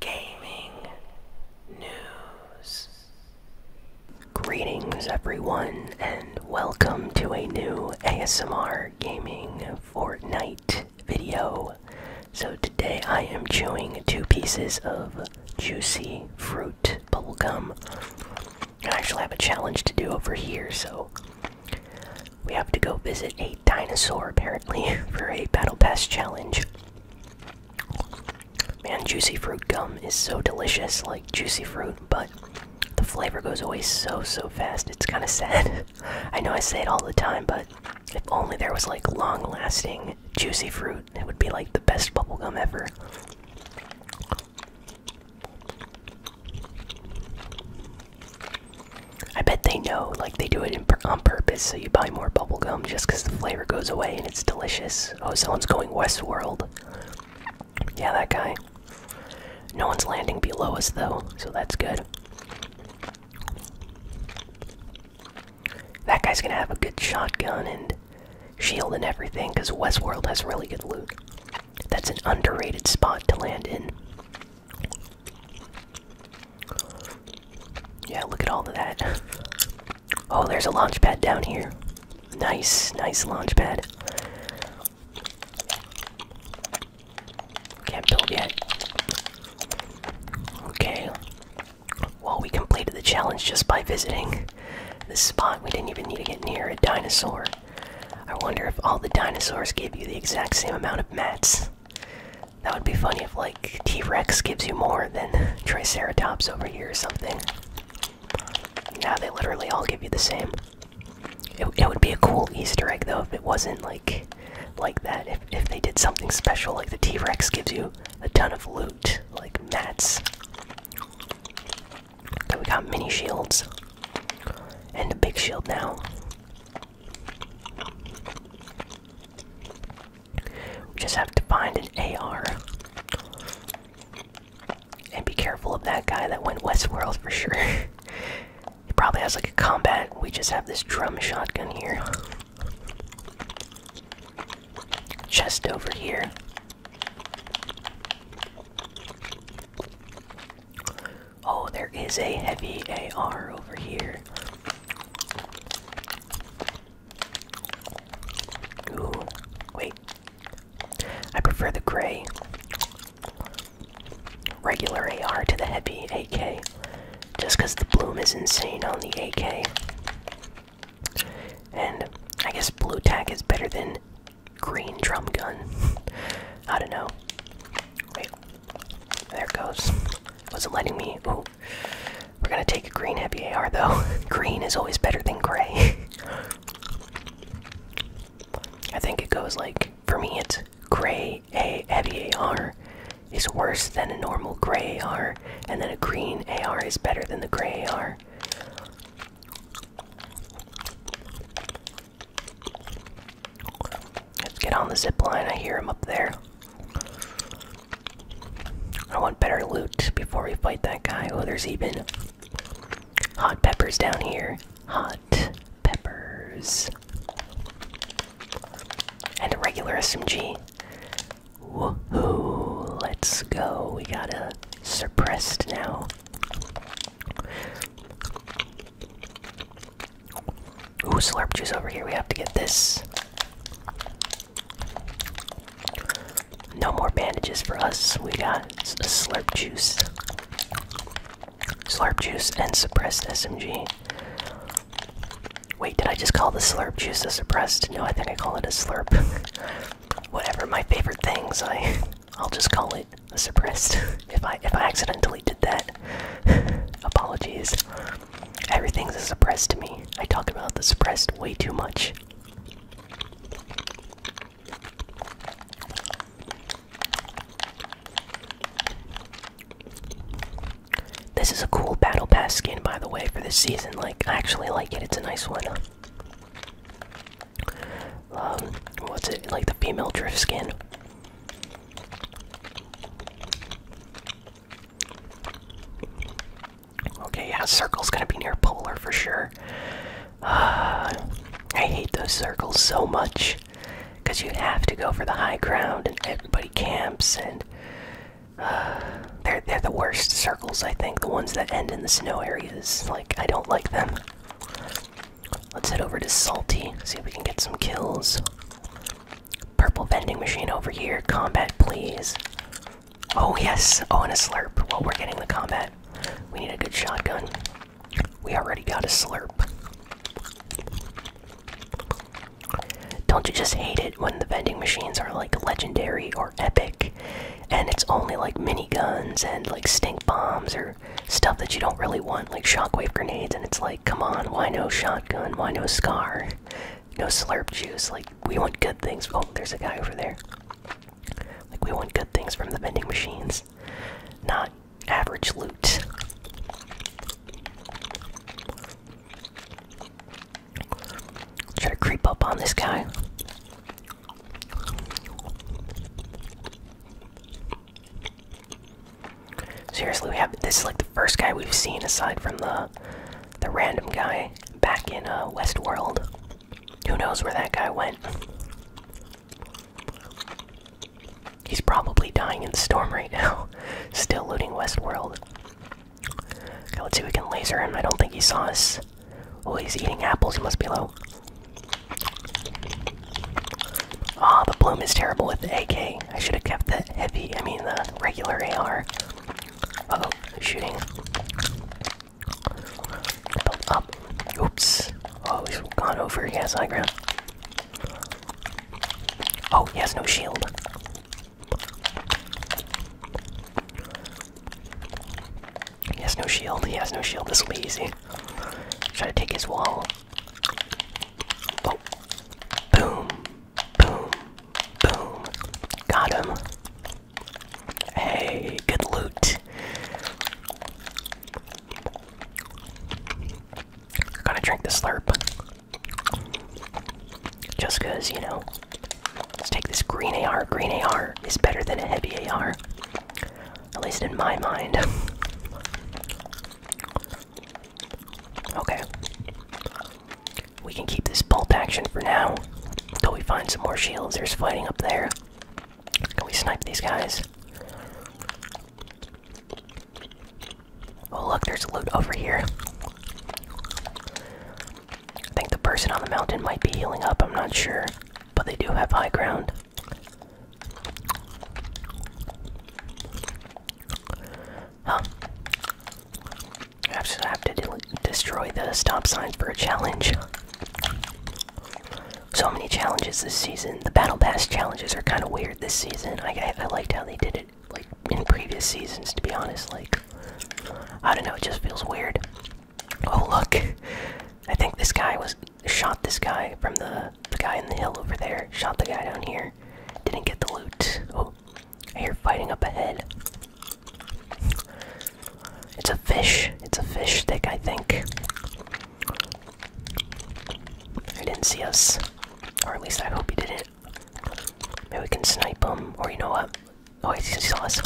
gaming news. Greetings, everyone, and welcome to a new ASMR gaming Fortnite video. So, today I am chewing two pieces of juicy fruit bubblegum. I actually have a challenge to do over here, so we have to go visit a dinosaur apparently for a battle pass challenge. Man, juicy fruit gum is so delicious, like juicy fruit, but the flavor goes away so, so fast. It's kind of sad. I know I say it all the time, but if only there was like long lasting juicy fruit, it would be like the best bubblegum ever. I bet they know, like, they do it on purpose so you buy more bubblegum just because the flavor goes away and it's delicious. Oh, someone's going Westworld. Yeah, that guy. No one's landing below us though, so that's good. That guy's gonna have a good shotgun and shield and everything because Westworld has really good loot. That's an underrated spot to land in. Yeah, look at all of that. Oh, there's a launch pad down here. Nice, nice launch pad. Can't build yet. Okay. Well, we completed the challenge just by visiting the spot. We didn't even need to get near a dinosaur. I wonder if all the dinosaurs gave you the exact same amount of mats. That would be funny if, like, T Rex gives you more than Triceratops over here or something. Yeah, they literally all give you the same. It, it would be a cool Easter egg, though, if it wasn't, like, like that. If, if they did something special, like the T Rex gives you a ton of loot, like mats. Okay, we got mini shields. And a big shield now. We just have to find an AR. And be careful of that guy that went Westworld for sure. he probably has like a combat. We just have this drum shotgun here. just over here. Oh, there is a heavy AR over here. Ooh, wait. I prefer the gray regular AR to the heavy AK just because the bloom is insane on the AK. And I guess blue tack is better than green drum gun. I don't know. Wait. There it goes. Wasn't letting me. We're gonna take a green heavy AR though. green is always better than gray. I think it goes like for me it's gray a heavy AR is worse than a normal gray AR and then a green AR is better than the gray AR. Let's get on the zip line. I hear him up there. I want better loot before we fight that guy. Oh, there's even hot peppers down here. Hot peppers. And a regular SMG. Woohoo! Let's go. We got a suppressed now. Ooh, slurp juice over here. We have to get this. No more bandages for us. We got a slurp juice. Slurp juice and suppressed SMG. Wait, did I just call the slurp juice suppressed? No, I think I call it a slurp. Whatever, my favorite things, I I'll just call it suppressed. if I if I accidentally did that. Apologies. Everything's suppressed to me. I talk about the suppressed way too much. This is a cool battle pass skin by the way for this season. Like I actually like it. It's a nice one. Um what's it? Like the female drift skin. Okay, yeah, circle's gonna be near polar for sure. I hate those circles so much because you have to go for the high ground and everybody camps and they're they're the worst circles I think the ones that end in the snow areas like I don't like them. Let's head over to Salty, see if we can get some kills. Purple vending machine over here, combat please. Oh, yes. on oh, a slurp. While we're getting the combat. We need a good shotgun. We already got a slurp. Don't you just hate it when the vending machines are like legendary or epic and it's only like mini guns and like stink bombs or stuff that you don't really want, like shockwave grenades? And it's like, come on, why no shotgun? Why no scar? no slurp juice. Like we want good things. Oh, there's a guy over there. Like we want good things from the vending machines, not average loot. Try to creep up on this guy. Seriously, we have this like the first guy we've seen aside from the the random guy back in uh, Westworld. Who knows where that guy went? He's probably dying in the storm right now. Still looting Westworld. Okay, let's see if we can laser him. I don't think he saw us. Oh, he's eating apples. He must be low. Ah, oh, the bloom is terrible with AK. I should have kept the heavy, I mean the regular AR. oh shooting. up. Oops. Oh, he's gone over. He has high ground. Oh, he has no shield. He has no shield. He has no shield. This will be easy. Try to take his wall. Oh. Boom. Boom. Boom. Got him. Hey, good loot. Gotta drink the slurp. Just cause, you know. let take this green AR. Green AR is better than a heavy AR. At least in my mind. okay. We can keep this bolt action for now until we find some more shields. There's fighting up there. Can we snipe these guys? Oh, look, there's loot over here. I think the person on the mountain might be healing up, I'm not sure. But they do have high ground. I have to destroy the stop signs for a challenge. So many challenges this season. The battle pass challenges are kind of weird this season. I, I liked how they did it like in previous seasons. To be honest, like I don't know, it just feels weird. Oh look, I think this guy was shot. This guy from the the guy in the hill over there shot the guy down here. Didn't get the loot. Oh, you're fighting up ahead. It's a fish. It's a fish stick, I think. He didn't see us. Or at least I hope he didn't. Maybe we can snipe him. Or you know what? Oh, he saw us.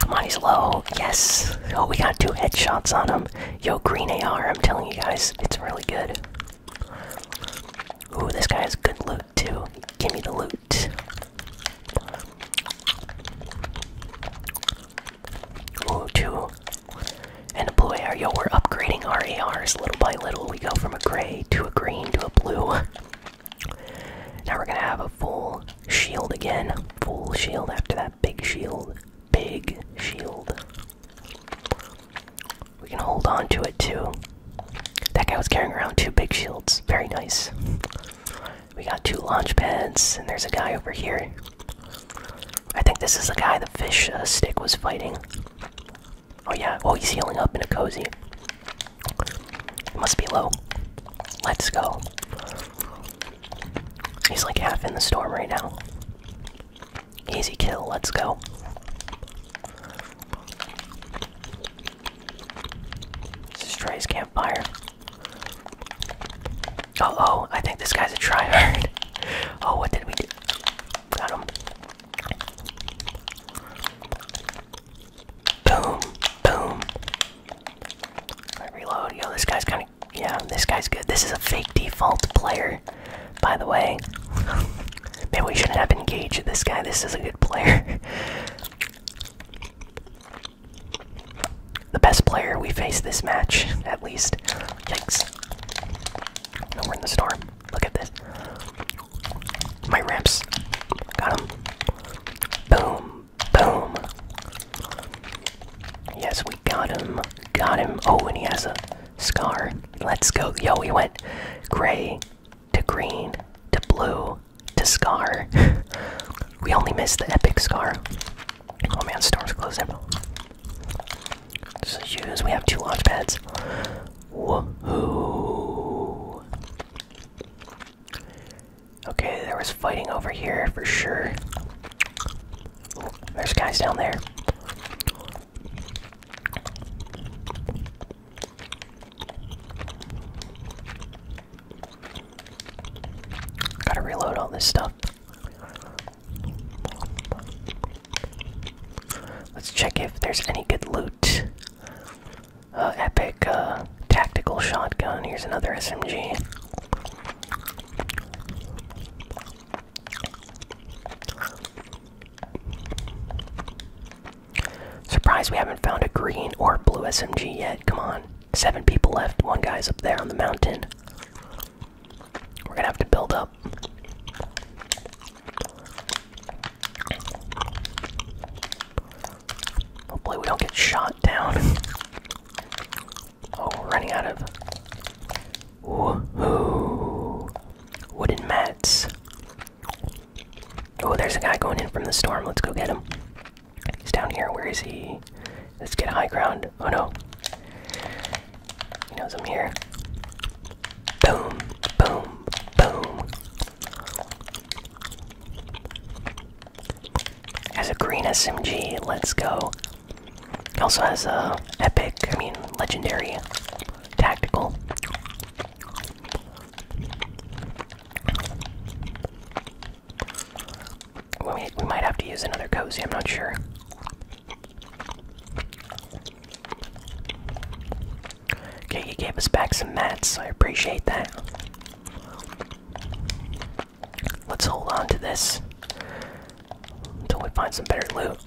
Come on, he's low. Yes. Oh, we got two headshots on him. Yo, green AR. I'm telling you guys, it's really good. Ooh, this guy has good loot up give me the loot. Ooh, And a blue AR. Yo, we're upgrading our ARs little by little. We go from a gray to a green to a blue. Now we're gonna have a full shield again. Full shield after that big shield. Big shield. We can hold on to it too. That guy was carrying around two big shields. Very nice. We got two launch pads, and there's a guy over here. I think this is the guy the fish uh, stick was fighting. Oh yeah, oh he's healing up in a cozy. Must be low. Let's go. He's like half in the storm right now. Easy kill, let's go. This is Trey's campfire. Oh, oh, I think this guy's a tryhard. oh, what did we do? Got him. Boom, boom. reload. Yo, this guy's kind of. Yeah, this guy's good. This is a fake default player, by the way. Man, we shouldn't have engaged this guy. This is a good player. the best player we face this match, at least. Yikes. No, we're in the storm. Look at this. My ramps. Got him. Boom. Boom. Yes, we got him. Got him. Oh, and he has a scar. Let's go. Yo, We went gray to green to blue to scar. we only miss the epic scar. Oh man, storm's closing. So use we have two launch pads. Woohoo! Okay, there was fighting over here for sure. There's guys down there. Gotta reload all this stuff. Let's check if there's any good loot. Uh, epic uh, tactical shotgun. Here's another SMG. Surprised we haven't found a green or blue SMG yet. Come on. Seven people left. One guy's up there on the mountain. We're gonna have to build up. Hopefully, we don't get shot down. oh, we're running out of. Wooden mats. Oh, there's a guy going in from the storm. Let's go get him. He's down here. Where is he? Let's get high ground. Oh no. He knows I'm here. Boom, boom, boom. Has a green SMG. Let's go. Also has a epic, I mean, legendary tactical. We, might have to use another cozy, I'm not sure. Okay, you gave us back some mats, I appreciate that. Let's hold on to this until we find some better loot.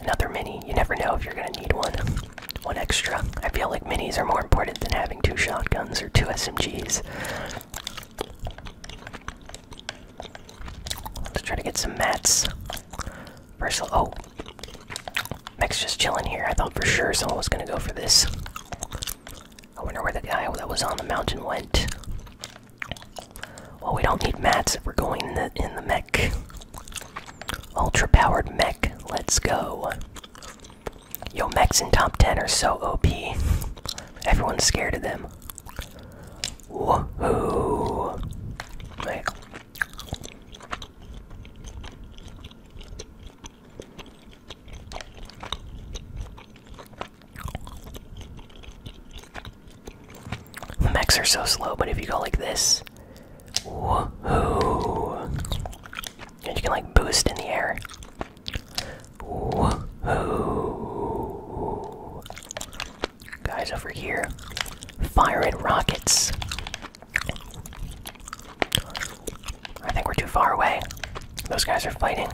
Another mini. You never know if you're gonna need one. One extra. I feel like minis are more important than having two shotguns or two SMGs. Let's try to get some mats. Versal. Oh. Mech's just chilling here. I thought for sure someone was gonna go for this. I wonder where the guy that was on the mountain went. Well, we don't need mats if we're going in the, in the mech. Ultra powered mech. Let's go. Yo, mechs and top 10 are so OP. Everyone's scared of them. Woohoo! Like, the mechs are so slow, but if you go like this, And you can like boost in the air. Guys over here, firing rockets. I think we're too far away. Those guys are fighting.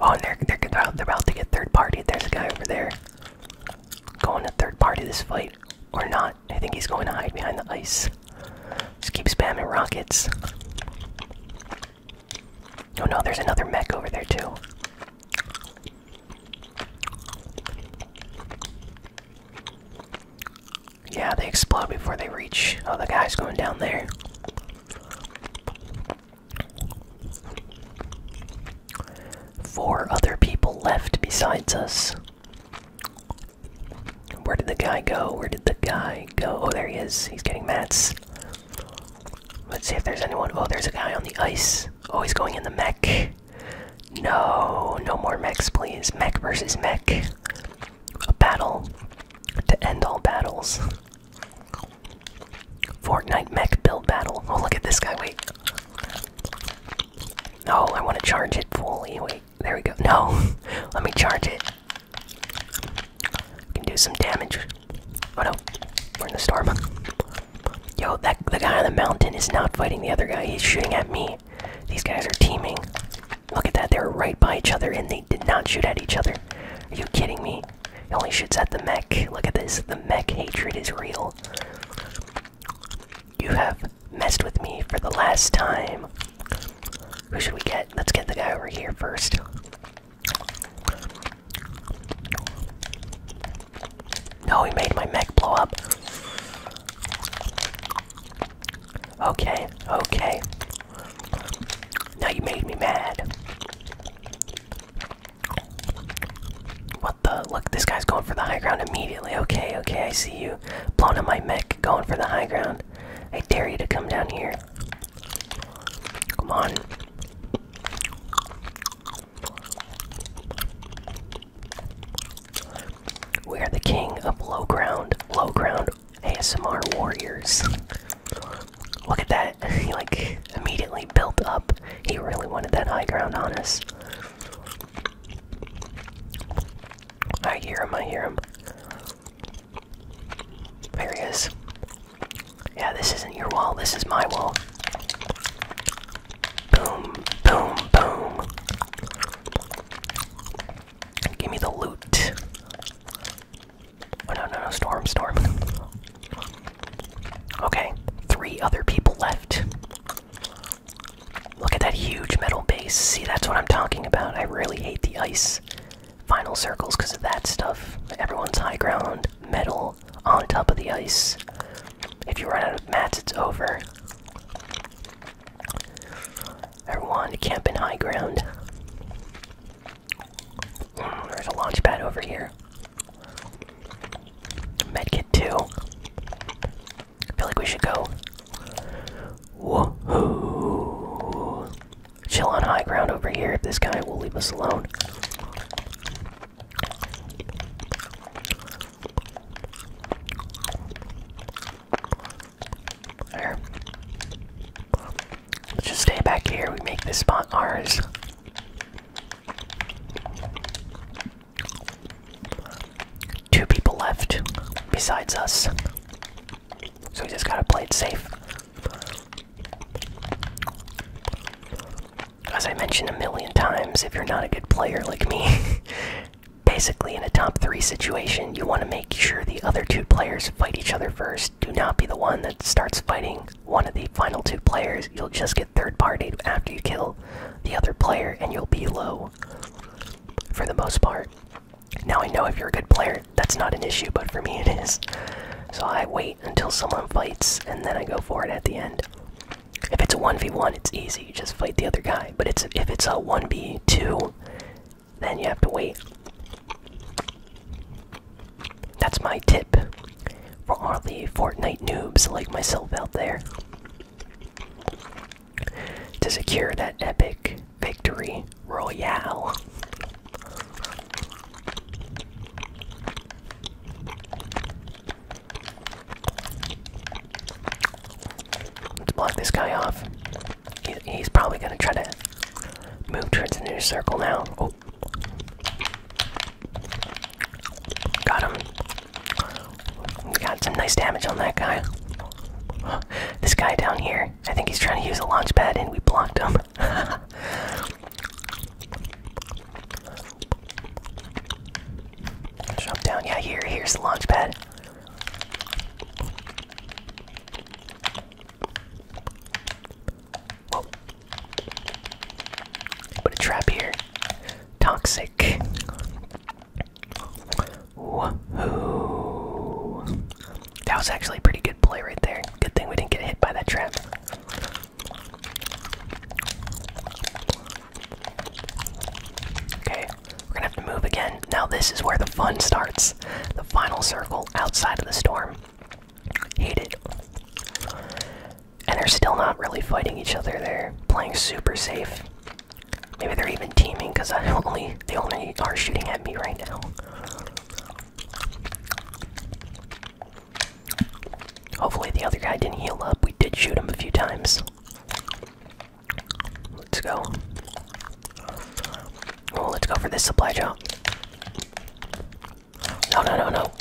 Oh, and they're they're about to get third party. There's a guy over there going to third party this fight, or not? I think he's going to hide behind the ice. Just keep spamming rockets. Oh no, there's another mech over there too. Yeah, they explode before they reach. Oh, the guy's going down there. Four other people left besides us. Where did the guy go? Where did the guy go? Oh, there he is. He's getting mats. Let's see if there's anyone. Oh, there's a guy on the ice. Always going in the mech. No, no more mechs, please. Mech versus mech. A battle to end all battles. Fortnite mech build battle. Oh, look at this guy. Wait. No, I want to charge it fully. Wait, there we go. No, let me charge it. can do some damage. Oh no, we're in the storm. Yo, that the guy on the mountain is not fighting the other guy. He's shooting at me. These guys are teaming. Look at that, they are right by each other and they did not shoot at each other. Are you kidding me? It only shoots at the mech. Look at this, the mech hatred is real. You have messed with me for the last time. Who should we get? Let's get the guy over here first. No, he made my mech blow up. Okay, okay. Now you made me mad. What the? Look, this guy's going for the high ground immediately. Okay, okay, I see you. Blowing up my mech, going for the high ground. I dare you to come down here. Come on. We are the king of low ground, low ground ASMR warriors. Look at that. he like immediately built up. He really wanted that high ground on us. I hear him, I hear him. There he is. Yeah, this isn't your wall, this is my wall. Boom, boom, boom. Give me the loot. Oh no, no, no, storm, storm. Okay, three other people left. Look at that huge metal base. See, that's what I'm talking about. I really hate the ice final circles because of that stuff. Everyone's high ground, metal on top of the ice. If you run out of mats, it's over. Everyone, camp in high ground. Mm, there's a launch pad over here. Medkit 2. I feel like we should go. Woohoo! Chill on high ground over here if this guy will leave us alone. There. Let's just stay back here. We make this spot ours. Two people left besides us. So we just gotta play it safe. As I mentioned a million times, if you're not a good player like me, basically in a top three situation you want to make sure the other two players fight each other first do not be the one that starts fighting one of the final two players you'll just get third party after you kill the other player and you'll be low for the most part now i know if you're a good player that's not an issue but for me it is so i wait until someone fights and then i go for it at the end if it's a 1v1, it's easy. just fight the other guy. But if it's a 1v2, then you have to wait. That's my tip for all the Fortnite noobs like myself out there. To secure that epic victory royale. Let's block this guy off. he's probably gonna try to move towards the new circle now. Oh. Got him. We got some nice damage on that guy. This guy down here, I think he's trying to use a launch pad and we blocked him. Jump down. Yeah, here, here's the launch pad. Put a trap here. Toxic. Woohoo. That was actually a pretty good play right there. Good thing we didn't get hit by that trap. Okay, we're gonna have to move again. Now, this is where the fun starts. The final circle outside of the storm. Hate it. And they're still not really fighting each other, they're playing super safe. Maybe they're even teaming because I only they only are shooting at me right now. Hopefully the other guy didn't heal up. We did shoot him a few times. Let's go. Oh, let's go for this supply jump. No, no, no, no.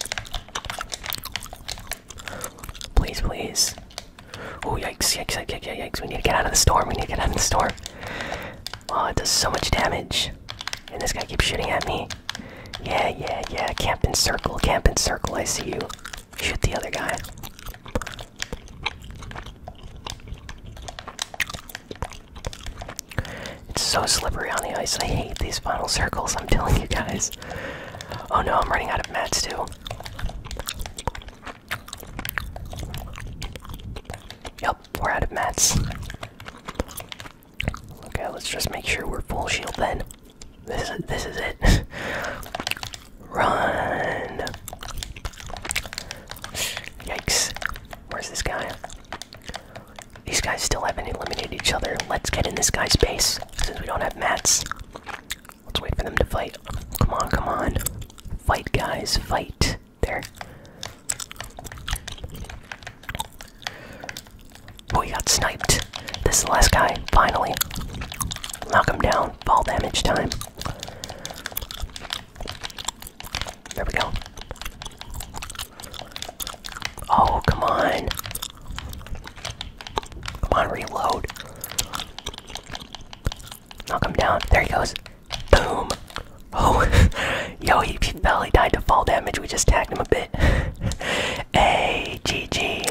Please, please. Oh, yikes, yikes, yikes, yikes. We need to get out of the storm. We need to get out of the storm. Oh, it does so much damage. And this guy keeps shooting at me. Yeah, yeah, yeah. Camp in circle, camp in circle. I see you. Shoot the other guy. It's so slippery on the ice. I hate these final circles, I'm telling you guys. Oh no, I'm running out of mats too. Yep, we're out of mats. Okay, let's just make sure we're full shield then. This is this is it. Run! Yikes. Where's this guy? These guys still haven't eliminated each other. Let's get in this guy's base since we don't have mats. Let's wait for them to fight. Come on, come on. Fight, guys, fight. There. Oh, he got sniped. This is the last guy, finally. Knock him down. Fall damage time. There we go. Oh, come on. Come on, reload. Knock him down. There he goes. Boom. Oh, yo, he, he fell. He died to fall damage. We just tagged him a bit. A G G.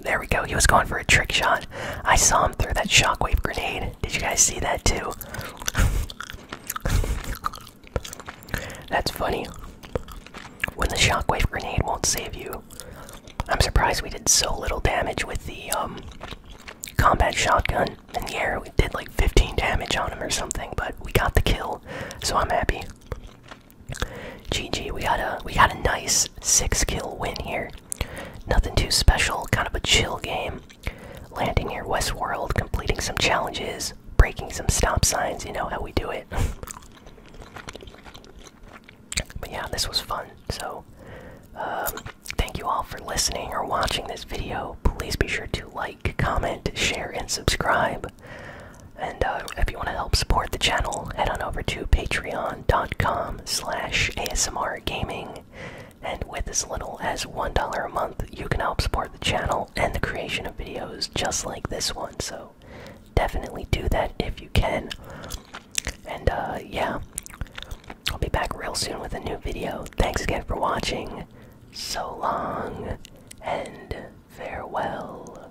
There we go. He was going for a trick shot. I saw him throw that shockwave grenade. Did you guys see that too? That's funny. When the shockwave grenade won't save you. I'm surprised we did so little damage with the um, combat shotgun in the air. We did like 15 damage on him or something, but we got the kill, so I'm happy. GG, we got a we got a nice six kill win here. Nothing too special, kind of a chill game. Landing near Westworld, completing some challenges, breaking some stop signs, you know how we do it. but yeah, this was fun. So, um, thank you all for listening or watching this video. Please be sure to like, comment, share, and subscribe. And uh, if you want to help support the channel, head on over to patreon.com slash ASMR gaming. And with as little as $1 a month, you can help support the channel and the creation of videos just like this one. So definitely do that if you can. And uh, yeah, I'll be back real soon with a new video. Thanks again for watching. So long and farewell.